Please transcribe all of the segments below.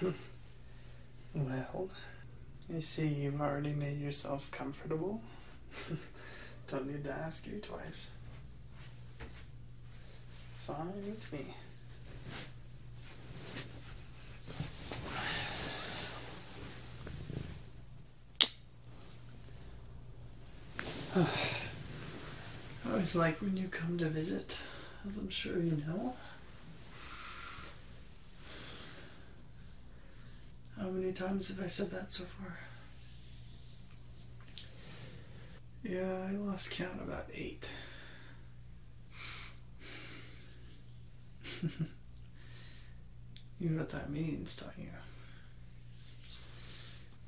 well, I see you've already made yourself comfortable. Don't need to ask you twice. Fine with me. Oh, I always like when you come to visit, as I'm sure you know. How many times have I said that so far? Yeah, I lost count about eight. you know what that means, don't you?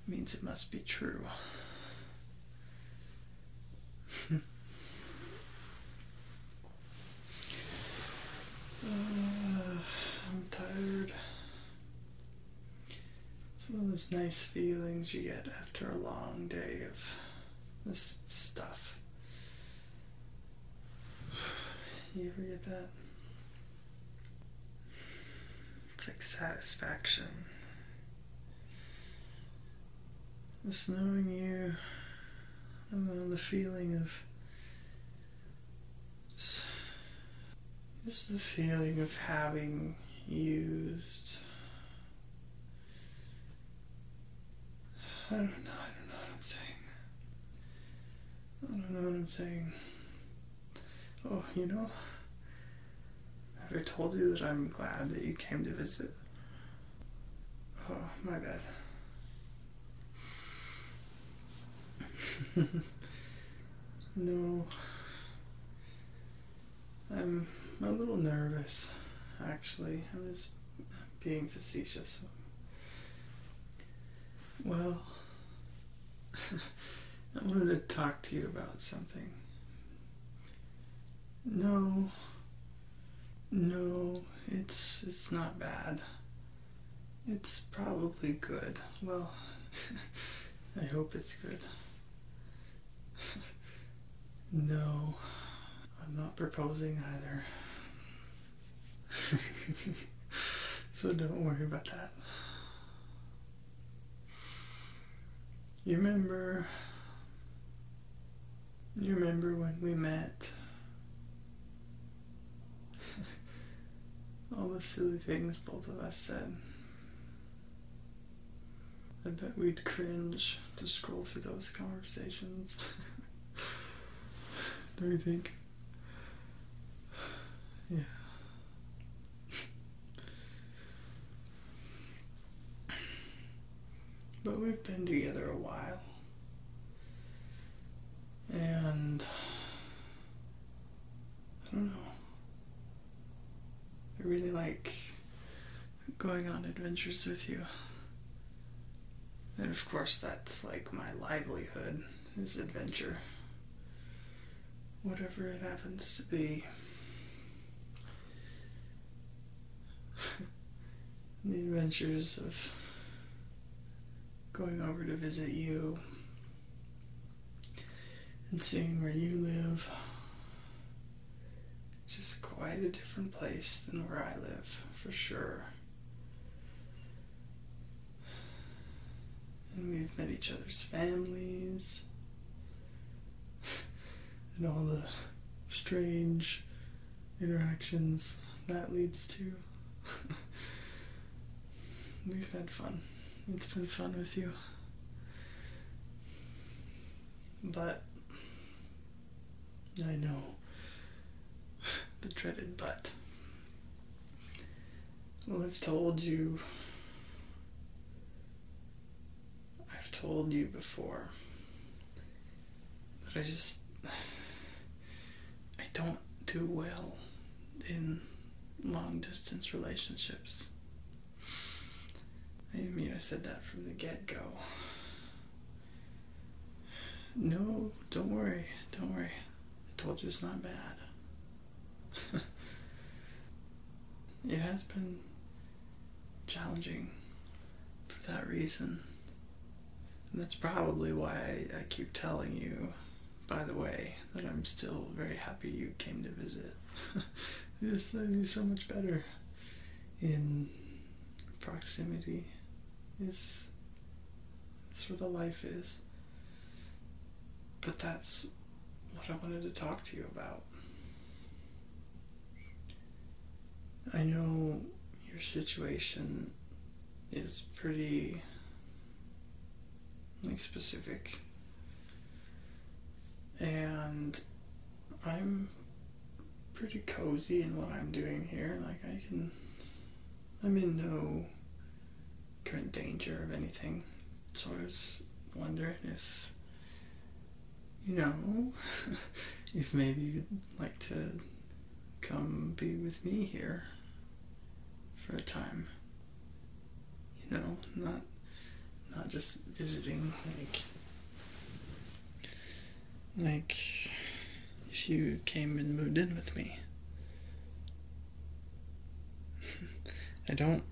means it must be true. Uh, I'm tired. It's one of those nice feelings you get after a long day of this stuff. You ever get that? It's like satisfaction. Just knowing you, I don't know, the feeling of. Just, just the feeling of having used. I don't know, I don't know what I'm saying. I don't know what I'm saying. Oh, you know, have I told you that I'm glad that you came to visit? Oh, my bad. no. I'm a little nervous, actually. I'm just being facetious. Well, I wanted to talk to you about something. No. No, it's it's not bad. It's probably good. Well, I hope it's good. no, I'm not proposing either. so don't worry about that. You remember. You remember when we met? All the silly things both of us said. I bet we'd cringe to scroll through those conversations. Don't you think? Yeah but we've been together a while. And I don't know. I really like going on adventures with you. And of course, that's like my livelihood is adventure. Whatever it happens to be. the adventures of going over to visit you and seeing where you live. It's just quite a different place than where I live, for sure. And we've met each other's families. and all the strange interactions that leads to. We've had fun. It's been fun with you. But I know the dreaded but. Well, I've told you I've told you before that I just I don't do well in long distance relationships. I mean, I said that from the get go. No, don't worry, don't worry. I told you it's not bad. it has been challenging for that reason. And that's probably why I, keep telling you, by the way, that I'm still very happy you came to visit. it just I do so much better in proximity. Is that's where the life is. But that's what I wanted to talk to you about. I know your situation is pretty like specific and I'm pretty cozy in what I'm doing here like I can I'm in no current danger of anything so I was wondering if you know, if maybe you'd like to come be with me here for a time. You know, not not just visiting like like if you came and moved in with me. I don't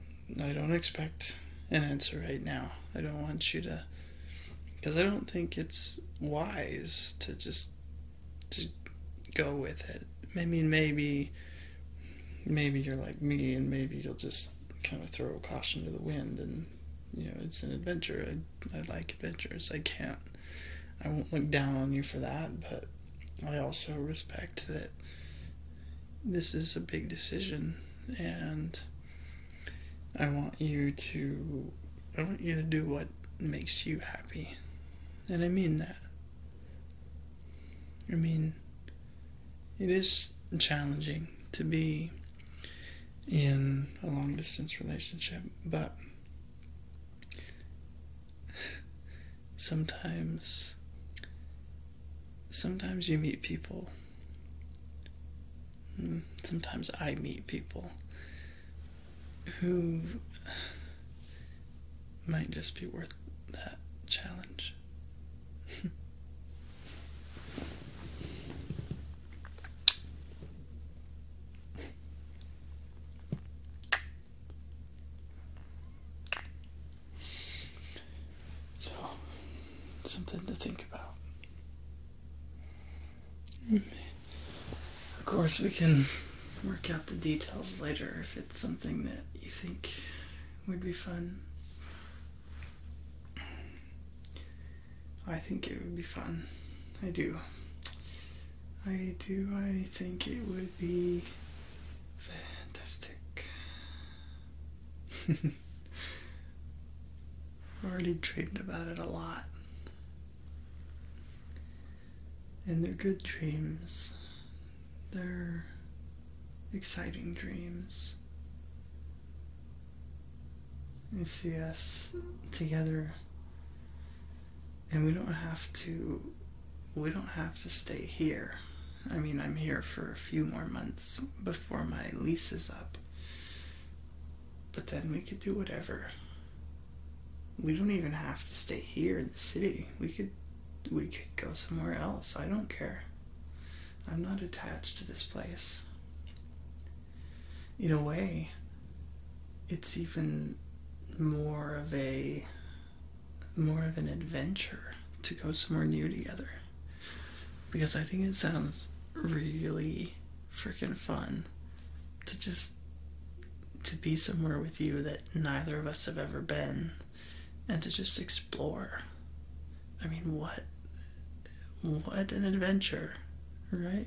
I don't expect an answer right now. I don't want you to, because I don't think it's wise to just to go with it. I mean, maybe, maybe you're like me, and maybe you'll just kind of throw caution to the wind, and you know, it's an adventure. I, I like adventures. I can't, I won't look down on you for that, but I also respect that this is a big decision, and I want you to I want you to do what makes you happy. And I mean that. I mean it is challenging to be in a long distance relationship, but sometimes sometimes you meet people Hmm, sometimes I meet people who might just be worth that challenge. So, something to think about. Of course, we can work out the details later if it's something that you think would be fun. I think it would be fun. I do. I do. I think it would be fantastic. I've Already dreamed about it a lot. And they're good dreams. They're exciting dreams. You see us together, and we don't have to. We don't have to stay here. I mean, I'm here for a few more months before my lease is up. But then we could do whatever. We don't even have to stay here in the city. We could we could go somewhere else. I don't care. I'm not attached to this place. In a way, it's even more of a more of an adventure to go somewhere new together because I think it sounds really freaking fun to just to be somewhere with you that neither of us have ever been and to just explore. I mean, what what an adventure, right?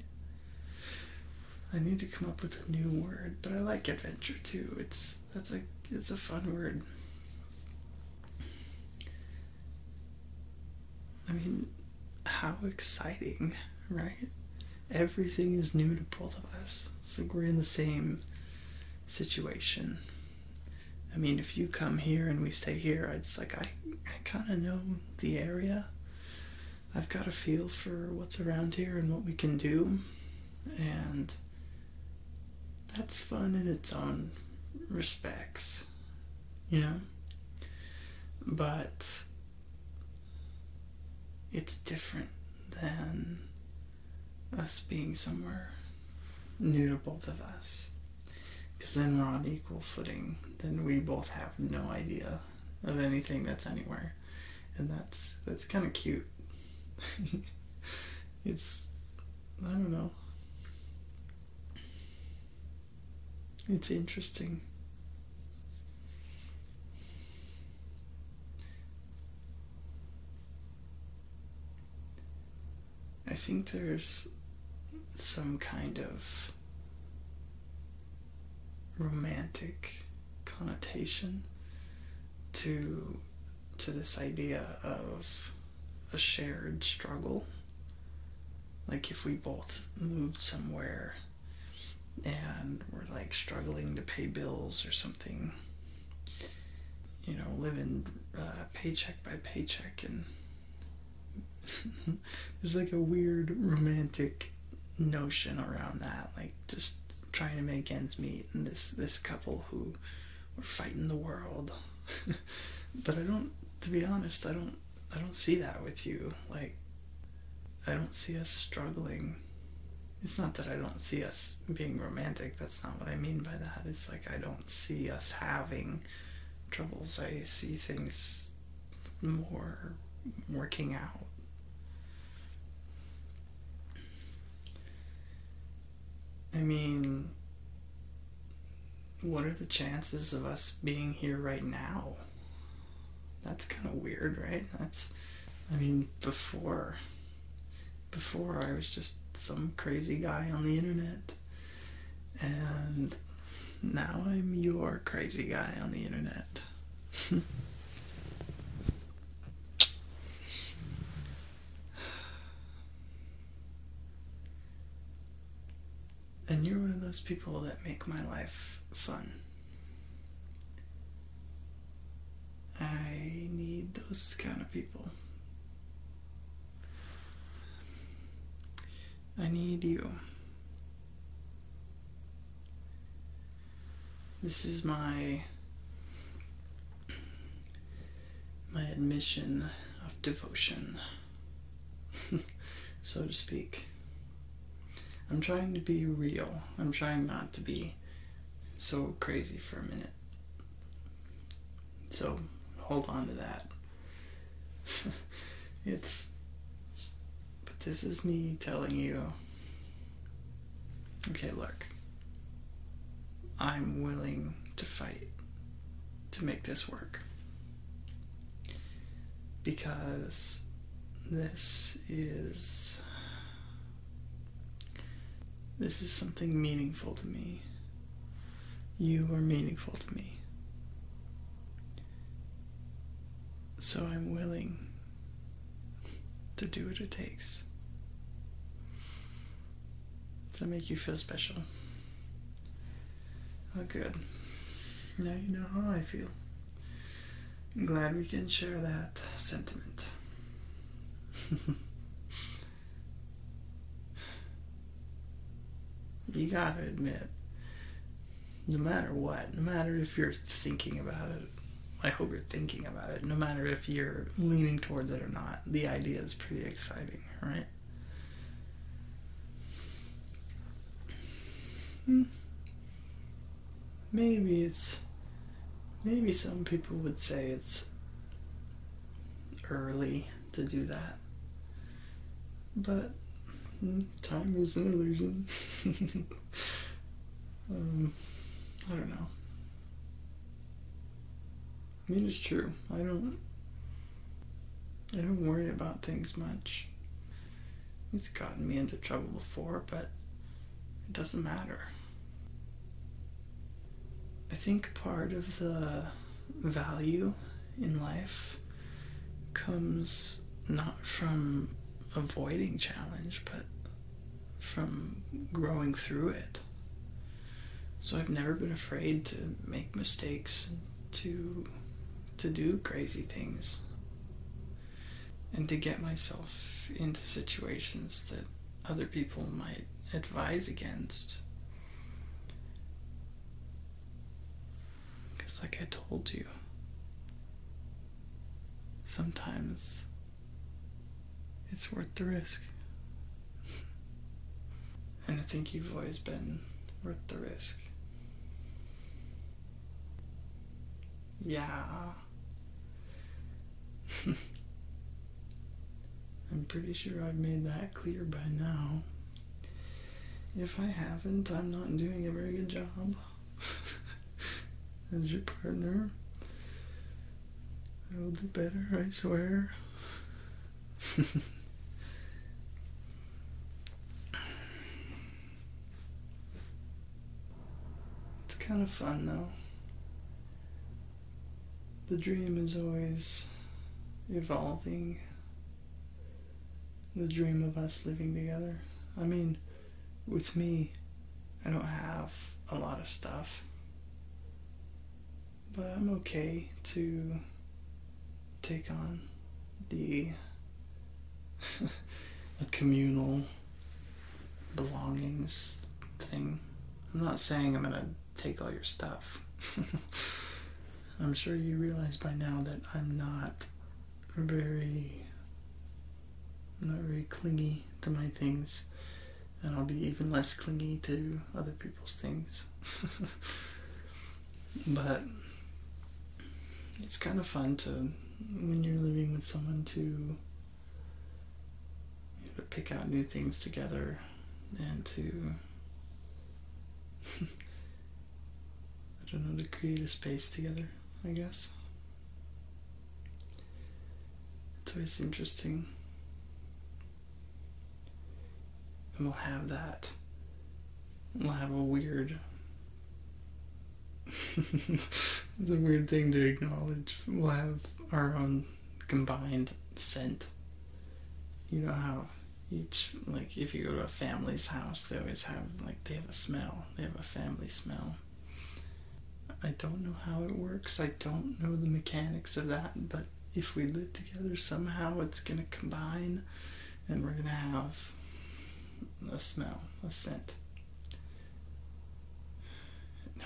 I need to come up with a new word, but I like adventure too. It's that's a it's a fun word. I mean, how exciting, right? Everything is new to both of us. It's like we're in the same situation. I mean, if you come here and we stay here, it's like I, I kind of know the area. I've got a feel for what's around here and what we can do. And that's fun in its own respects you know? But it's different than us being somewhere new to both of us. Because then we're on equal footing. Then we both have no idea of anything that's anywhere. And that's that's kind of cute. it's I don't know. It's interesting. I think there's some kind of romantic connotation to to this idea of a shared struggle like if we both moved somewhere and we're like struggling to pay bills or something, you know, living uh, paycheck by paycheck, and there's like a weird romantic notion around that, like just trying to make ends meet, and this this couple who were fighting the world. but I don't, to be honest, I don't I don't see that with you. Like I don't see us struggling. It's not that I don't see us being romantic, that's not what I mean by that. It's like I don't see us having troubles. I see things more working out. I mean, what are the chances of us being here right now? That's kind of weird, right? That's, I mean, before, before I was just some crazy guy on the internet. And now I'm your crazy guy on the internet. And you're one of those people that make my life fun. I need those kind of people. I need you. This is my my admission of devotion. so to speak. I'm trying to be real. I'm trying not to be so crazy for a minute. So hold on to that. it's. But this is me telling you okay, look, I'm willing to fight to make this work because this is this is something meaningful to me. You are meaningful to me. So I'm willing to do what it takes to make you feel special. Oh, good. Now you know how I feel. I'm glad we can share that sentiment. you gotta admit, no matter what, no matter if you're thinking about it, I hope you're thinking about it, no matter if you're leaning towards it or not, the idea is pretty exciting, right? Hmm. Maybe it's. Maybe some people would say it's early to do that. But hmm, time is an illusion. um, I don't know. I mean, it's true. I don't. I don't worry about things much. He's gotten me into trouble before, but it doesn't matter. I think part of the value in life comes not from avoiding challenge, but from growing through it. So I've never been afraid to make mistakes to to do crazy things and to get myself into situations that other people might advise against. Because, like I told you, sometimes it's worth the risk. and I think you've always been worth the risk. Yeah. I'm pretty sure I've made that clear by now. If I haven't, I'm not doing a very good job as your partner. I will do better, I swear. It's kind of fun though. The dream is always evolving. The dream of us living together. I mean, with me, I don't have a lot of stuff. But I'm okay to take on the communal belongings thing. I'm not saying I'm gonna take all your stuff. I'm sure you realize by now that I'm not very not very clingy to my things and I'll be even less clingy to other people's things. But it's kind of fun to, when you're living with someone, to, pick out new things together and to, I don't know, to create a space together, I guess. It's always interesting. And we'll have that we will have a weird. it's a weird thing to acknowledge. We'll have our own combined scent. You know how each, like, if you go to a family's house, they always have, like, they have a smell. They have a family smell. I don't know how it works. I don't know the mechanics of that, but if we live together somehow, it's gonna combine and we're going to have a smell, a scent.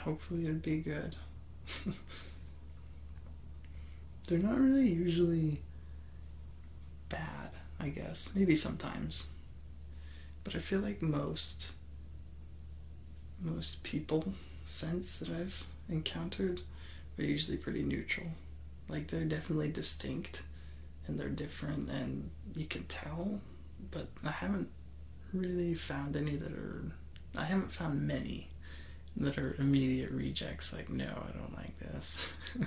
hopefully it'd be good. They're not really usually bad, I guess. Maybe sometimes. But I feel like most most people scents that I've encountered are usually pretty neutral. Like they're definitely distinct and they're different and you can tell, but I haven't really found any that are I haven't found many that are immediate rejects like no, I don't like this.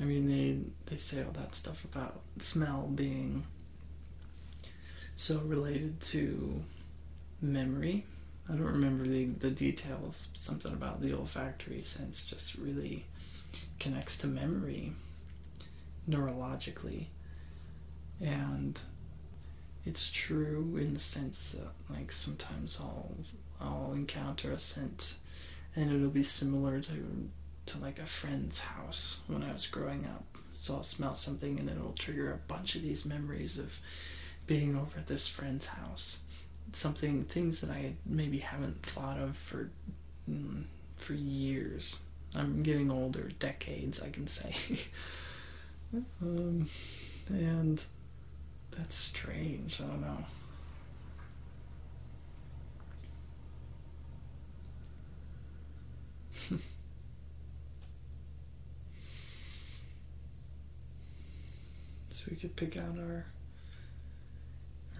I mean they they say all that stuff about smell being so related to memory. I don't remember the, the details, something about the olfactory sense just really connects to memory neurologically. And it's true in the sense that, like, sometimes I'll, I'll encounter a scent and it'll be similar to, to like a friend's house when I was growing up. So I'll smell something and it'll trigger a bunch of these memories of being over at this friend's house. Something things that I maybe haven't thought of for mm, for years. I'm getting older, decades, I can say. Um, and that's strange. I don't know. So we could pick out our,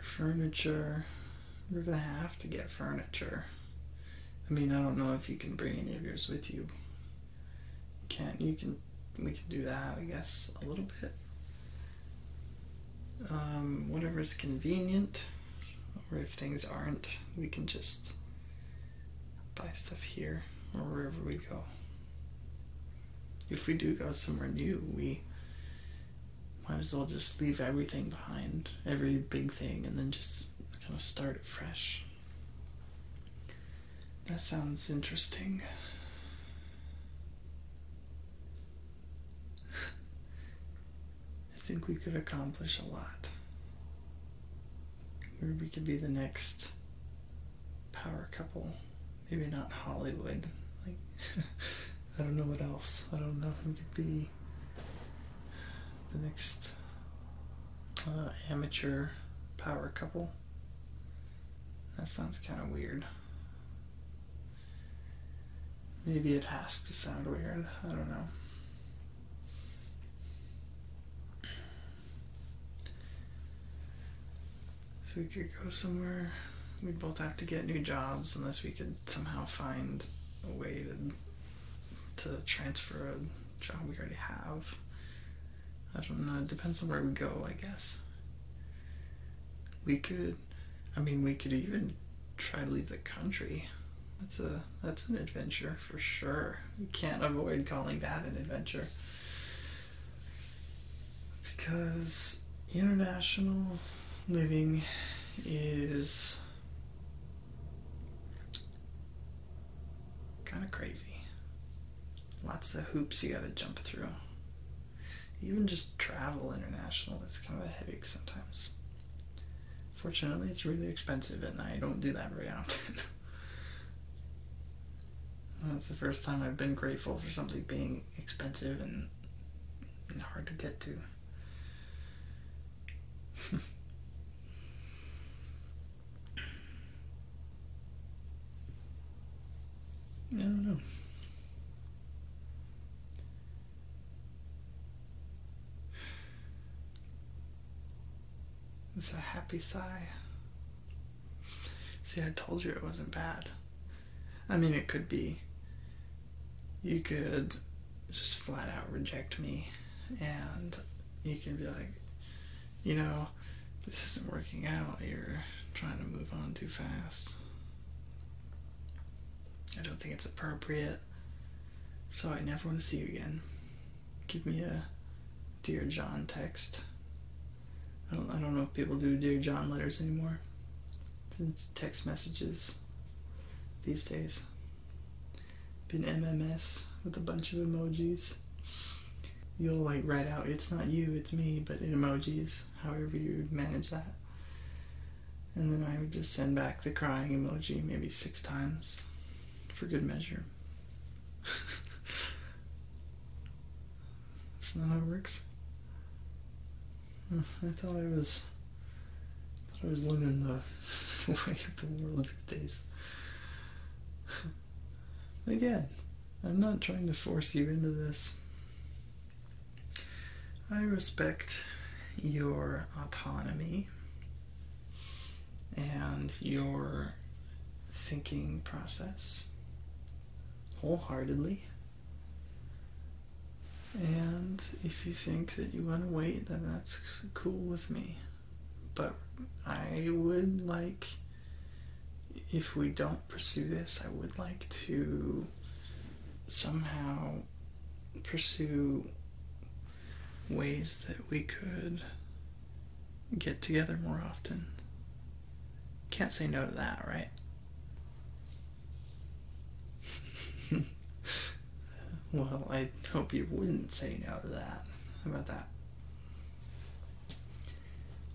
furniture. We're gonna have to get furniture. I mean, I don't know if you can bring any of yours with you. can't you can we can do that I guess a little bit. Um, whatever is convenient, or if things aren't, we can just buy stuff here or wherever we go if we do go somewhere new, we might as well just leave everything behind, every big thing, and then just kind of start fresh. That sounds interesting. I think we could accomplish a lot. Or we could be the next power couple. Maybe not Hollywood. Like I don't know what else. I don't know who could be the next uh, amateur power couple. That sounds kind of weird. Maybe it has to sound weird. I don't know. So we could go somewhere. We'd both have to get new jobs unless we could somehow find a way to, to transfer a job we already have. I don't know. It depends on where we go, I guess. We could, I mean, we could even try to leave the country. That's a that's an adventure for sure. We can't avoid calling that an adventure because international living is kind of crazy. Lots of hoops you gotta jump through. Even just travel international is kind of a headache sometimes. Fortunately, it's really expensive, and I don't do that very often. That's the first time I've been grateful for something being expensive and, hard to get to. I don't know. It's a happy sigh. See, I told you it wasn't bad. I mean, it could be. You could just flat out reject me, and you can be like, you know, this isn't working out. You're trying to move on too fast. I don't think it's appropriate. So I never want to see you again. Give me a Dear John text. I don't, I don't know if people do Dear John letters anymore. It's text messages these days. Been MMS with a bunch of emojis. You'll like write out, it's not you, it's me, but in emojis, however you manage that. And then I would just send back the crying emoji maybe six times for good measure. That's not how it works. I thought I was I I was living the way of the world these days. Again, I'm not trying to force you into this. I respect your autonomy and your thinking process wholeheartedly. And if you think that you want to wait, then that's cool with me. But I would like, if we don't pursue this, I would like to somehow pursue ways that we could get together more often can't say no to that, right? well, I hope you wouldn't say no to that. How about that?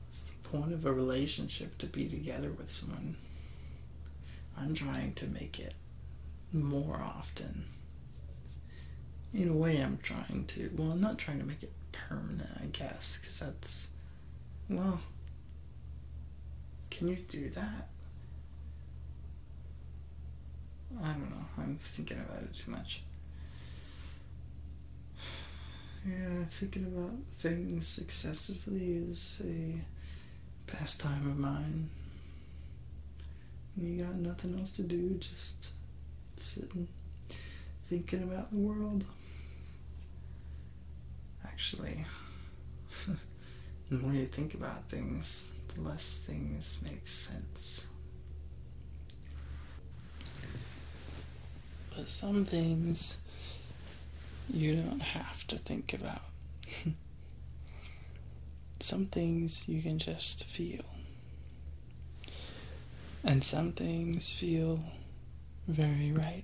It's the point of a relationship to be together with someone. I'm trying to make it more often. In a way, I'm trying to, well, I'm not trying to make it permanent, I guess, because that's. Well. Can you do that? I don't know. I'm thinking about it too much. Yeah, thinking about things excessively is a pastime of mine. When you got nothing else to do, just sitting, thinking about the world. Actually, the more you think about things, the less things make sense. But some things you don't have to think about. some things you can just feel. And some things feel very right.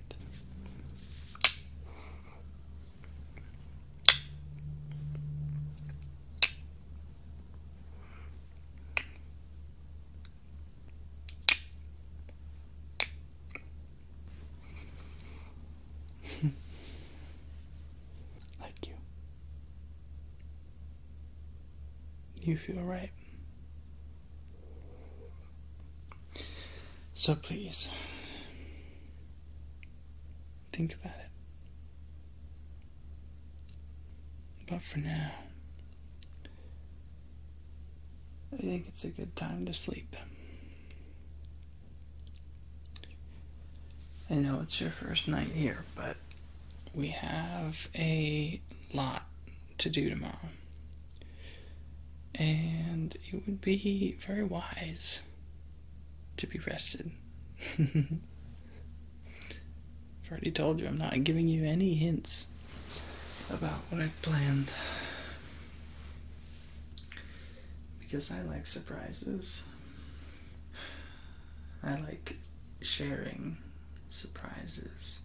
like you. You feel right. So please, think about it. But for now, I think it's a good time to sleep. I know it's your first night here, but we have a lot to do tomorrow. And it would be very wise to be rested. I've already told you I'm not giving you any hints about what I've planned. Because I like surprises. I like sharing surprises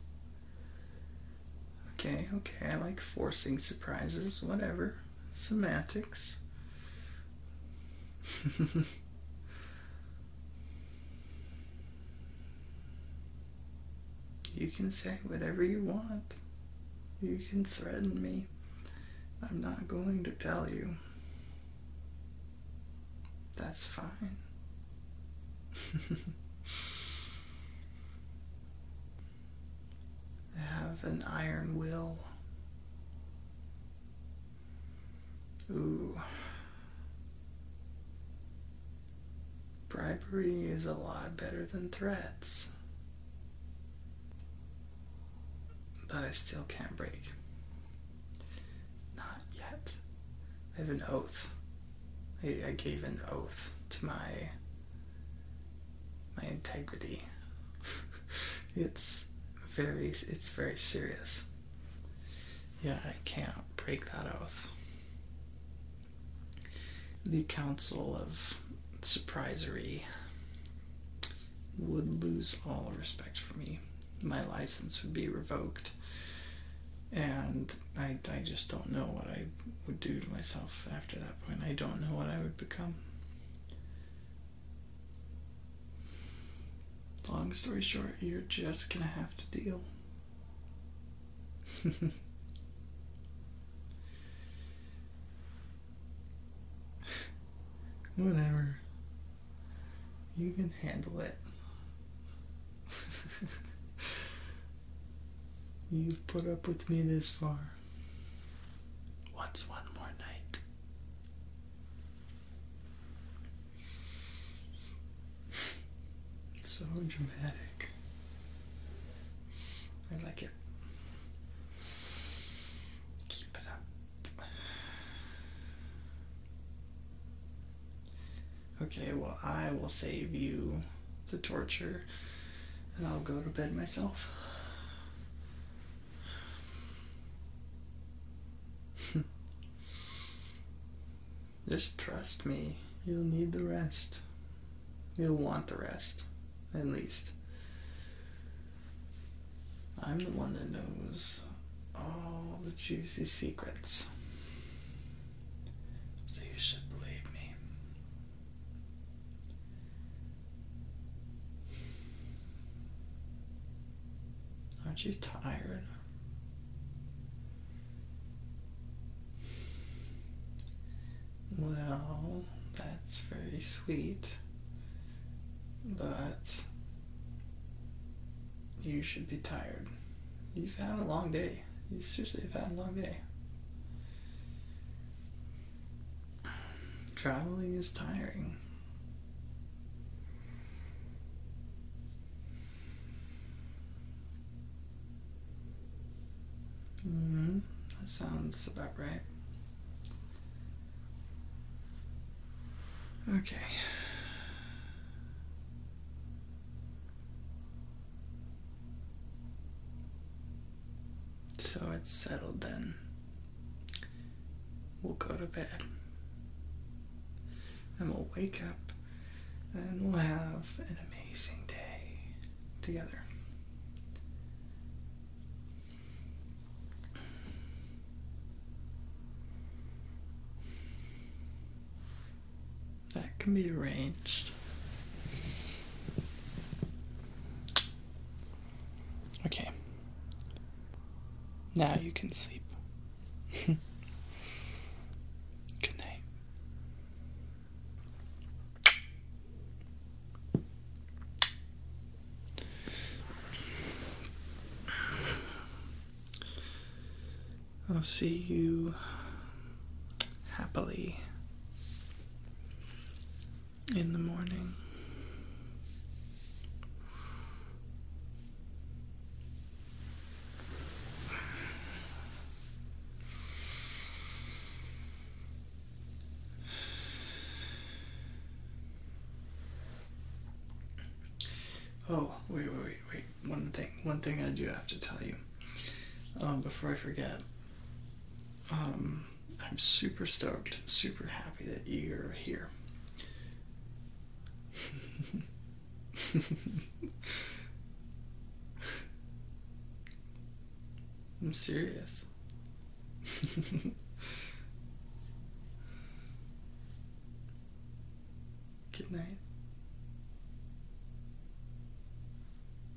Okay, okay, I like forcing surprises, whatever. Semantics. you can say whatever you want. You can threaten me. I'm not going to tell you. That's fine. I Have an iron will. Ooh. Bribery is a lot better than threats. But I still can't break. Not yet. I have an oath. I, gave an oath to my my integrity. it's very it's very serious. Yeah, I can't break that oath. The Council of Surprisery would lose all respect for me. My license would be revoked and I, I just don't know what I would do to myself after that point. I don't know what I would become. Long story short, you're just gonna have to deal. Whatever. You can handle it. You've put up with me this far. What's one more night? so dramatic. I like it. Keep it up okay, well, I will save you the torture and I'll go to bed myself. Just trust me. You'll need the rest. You'll want the rest, at least. I'm the one that knows all the juicy secrets. So you should believe me. Aren't you tired? Well, that's very sweet, but you should be tired. You've had a long day. You seriously have had a long day. Traveling is tiring. hmm That sounds about right. Okay. So it's settled then. We'll go to bed. And we'll wake up and we'll have an amazing day together. That can be arranged. Okay. Now you can sleep. Good night. I'll see you happily in the morning. Oh, wait, wait, wait, wait. One thing, one thing I do have to tell you. Um, before I forget. Um, I'm super stoked, super happy that you're here. I'm serious. Good night.